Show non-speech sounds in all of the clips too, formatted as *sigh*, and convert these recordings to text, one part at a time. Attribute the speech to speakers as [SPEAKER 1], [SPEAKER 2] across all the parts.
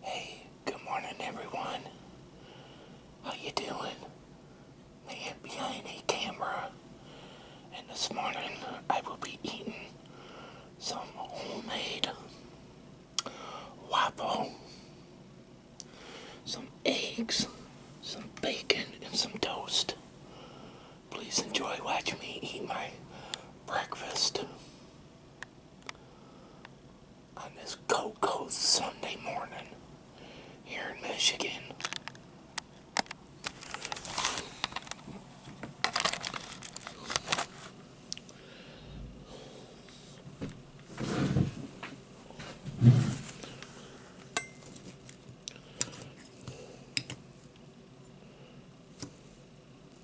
[SPEAKER 1] Hey, good morning everyone. How you doing? Man behind a camera. And this morning I will be eating some homemade waffle, some eggs, some bacon, and some toast. Please enjoy watching me eat my breakfast on this cold, cold Sunday morning here in Michigan.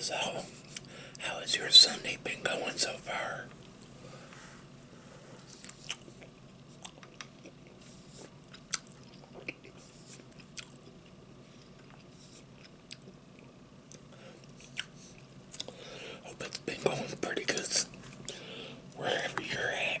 [SPEAKER 1] So, how has your Sunday been going so far? Hope it's been going pretty good wherever you're at.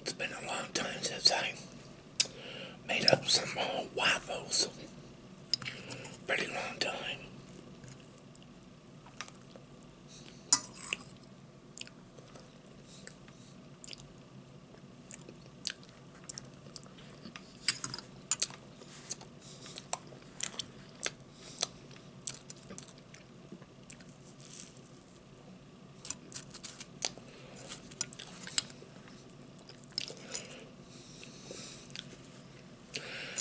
[SPEAKER 1] It's been a long time since I made up some more waffles. Pretty long time.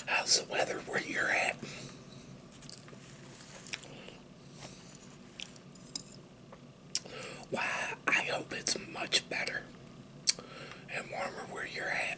[SPEAKER 1] How's the weather where you're at? Why, I hope it's much better and warmer where you're at.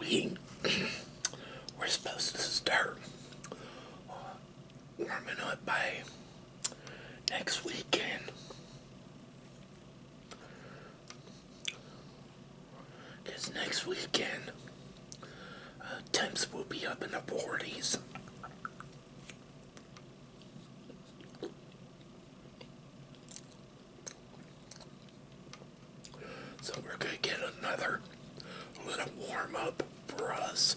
[SPEAKER 1] We, *clears throat* we're supposed to start uh, warming up by next weekend. Because next weekend uh, temps will be up in the 40s. So we're going to get another little warm up for us.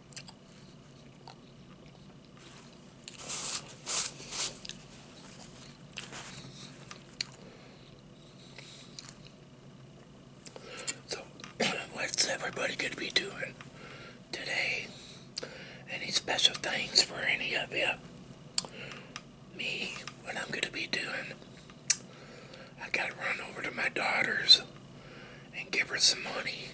[SPEAKER 1] So, *clears throat* what's everybody going to be doing today? Any special things for any of you? Me, what I'm going to be doing, I got to run over to my daughter's and give her some money.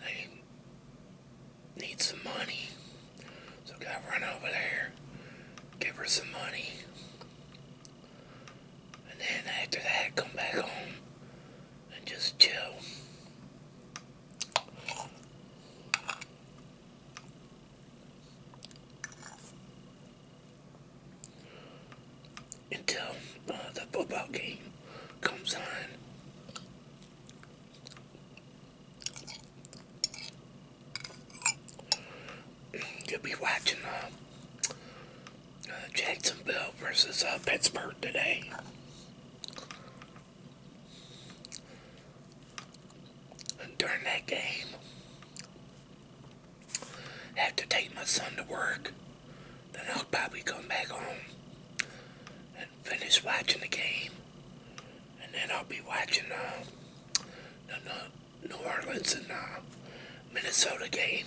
[SPEAKER 1] They need some money. So I gotta run over there, give her some money. And then after that, come back home and just chill until uh, the football game comes on. You'll be watching uh, uh Jacksonville versus uh, Pittsburgh today. during that game, have to take my son to work, then I'll probably come back home and finish watching the game. And then I'll be watching uh, the, New Orleans and uh, Minnesota game.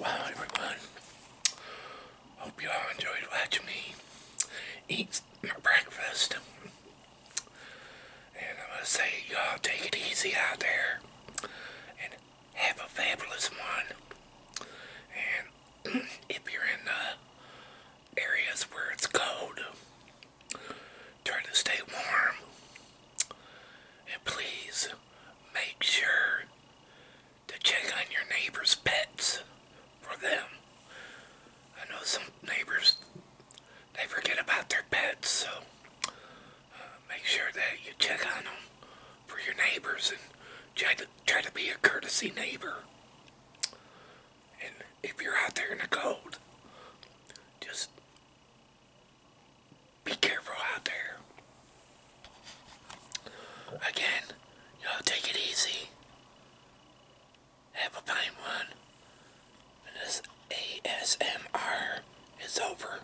[SPEAKER 1] Wow, everyone. Hope you all enjoyed watching me eat my breakfast. And I'm going to say, y'all take it easy out there. And have a fabulous one. And if you're in areas where it's cold, try to stay warm. And please make sure to check on your neighbor's pets for them. I know some neighbors, they forget about their pets, so uh, make sure that you check on them for your neighbors and try to, try to be a courtesy neighbor. And if you're out there in the cold, just be careful out there. Again, you know, take it easy. Have a fine one. this ASMR is over.